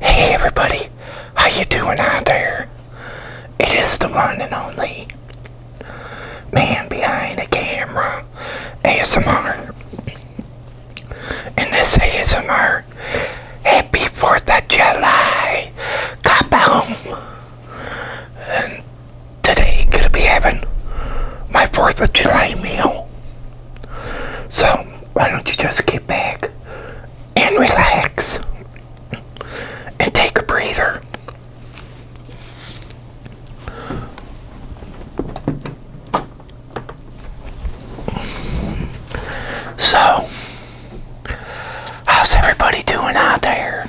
Hey everybody, how you doing out there? It is the one and only man behind the camera, ASMR. And this ASMR, happy 4th of July, got home. And today, gonna be having my 4th of July meal. So, why don't you just get back and relax and take a breather? So, how's everybody doing out there?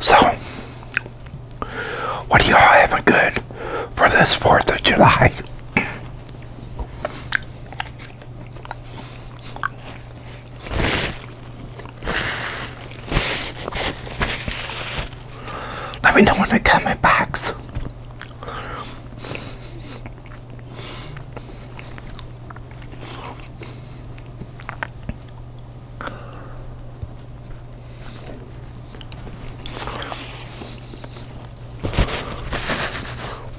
So, what do y'all having good for this 4th of July? Let me know in the my box.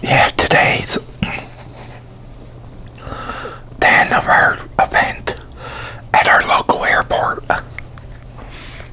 Yeah, today's the end of our event at our local airport.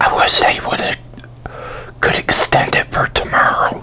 I wish they would have could extend it for tomorrow.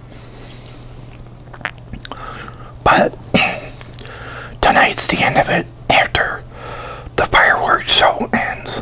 But tonight's the end of it after the fireworks show ends.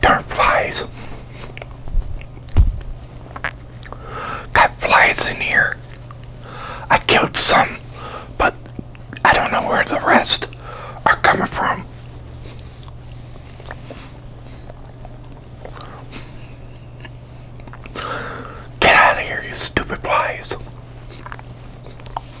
Darn flies. Got flies in here. I killed some, but I don't know where the rest are coming from. Get out of here, you stupid flies.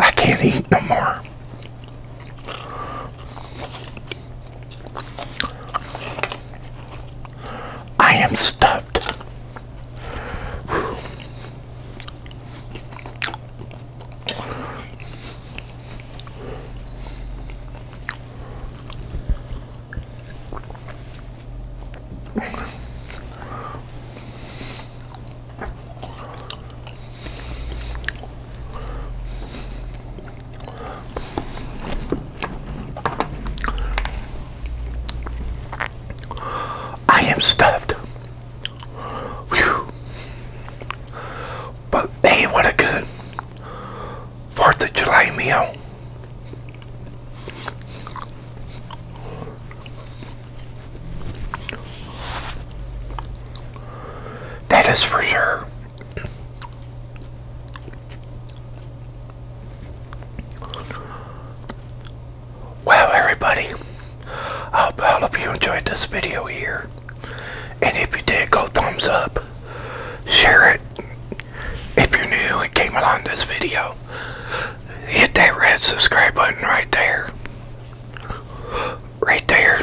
I can't eat no more. I am stuffed. I am stuffed. Whew. But hey, what a good 4th of July meal. That is for sure. Well, everybody, I hope you enjoyed this video here. And if you did, go thumbs up, share it. If you're new and came along this video, hit that red subscribe button right there right there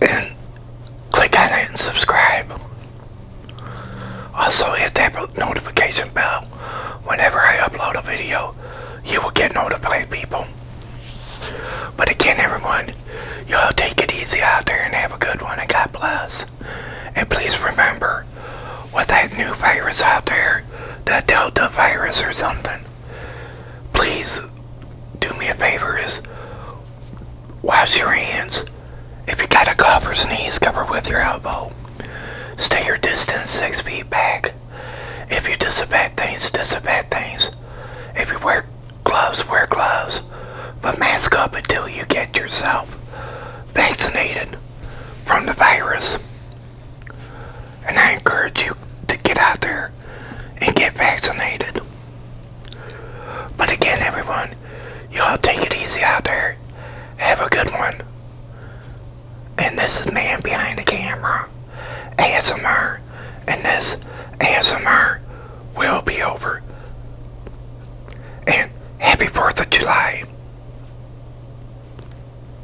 and click on it and subscribe. Also hit that notification bell. Whenever I upload a video, you will get notified people. But again, everyone, y'all take it easy out there and have a good one and God bless. And please remember, with that new virus out there, the Delta virus or something, please do me a favor is wash your hands. If you got a cough or sneeze, cover with your elbow. Stay your distance six feet back. If you disinfect things, disinfect things. If you wear gloves, wear gloves. But mask up until you get yourself vaccinated from the virus. And I encourage you to get out there and get vaccinated. But again, everyone, y'all take it easy out there. Have a good one. And this is Man Behind the Camera, ASMR, and this ASMR will be over. And happy 4th of July.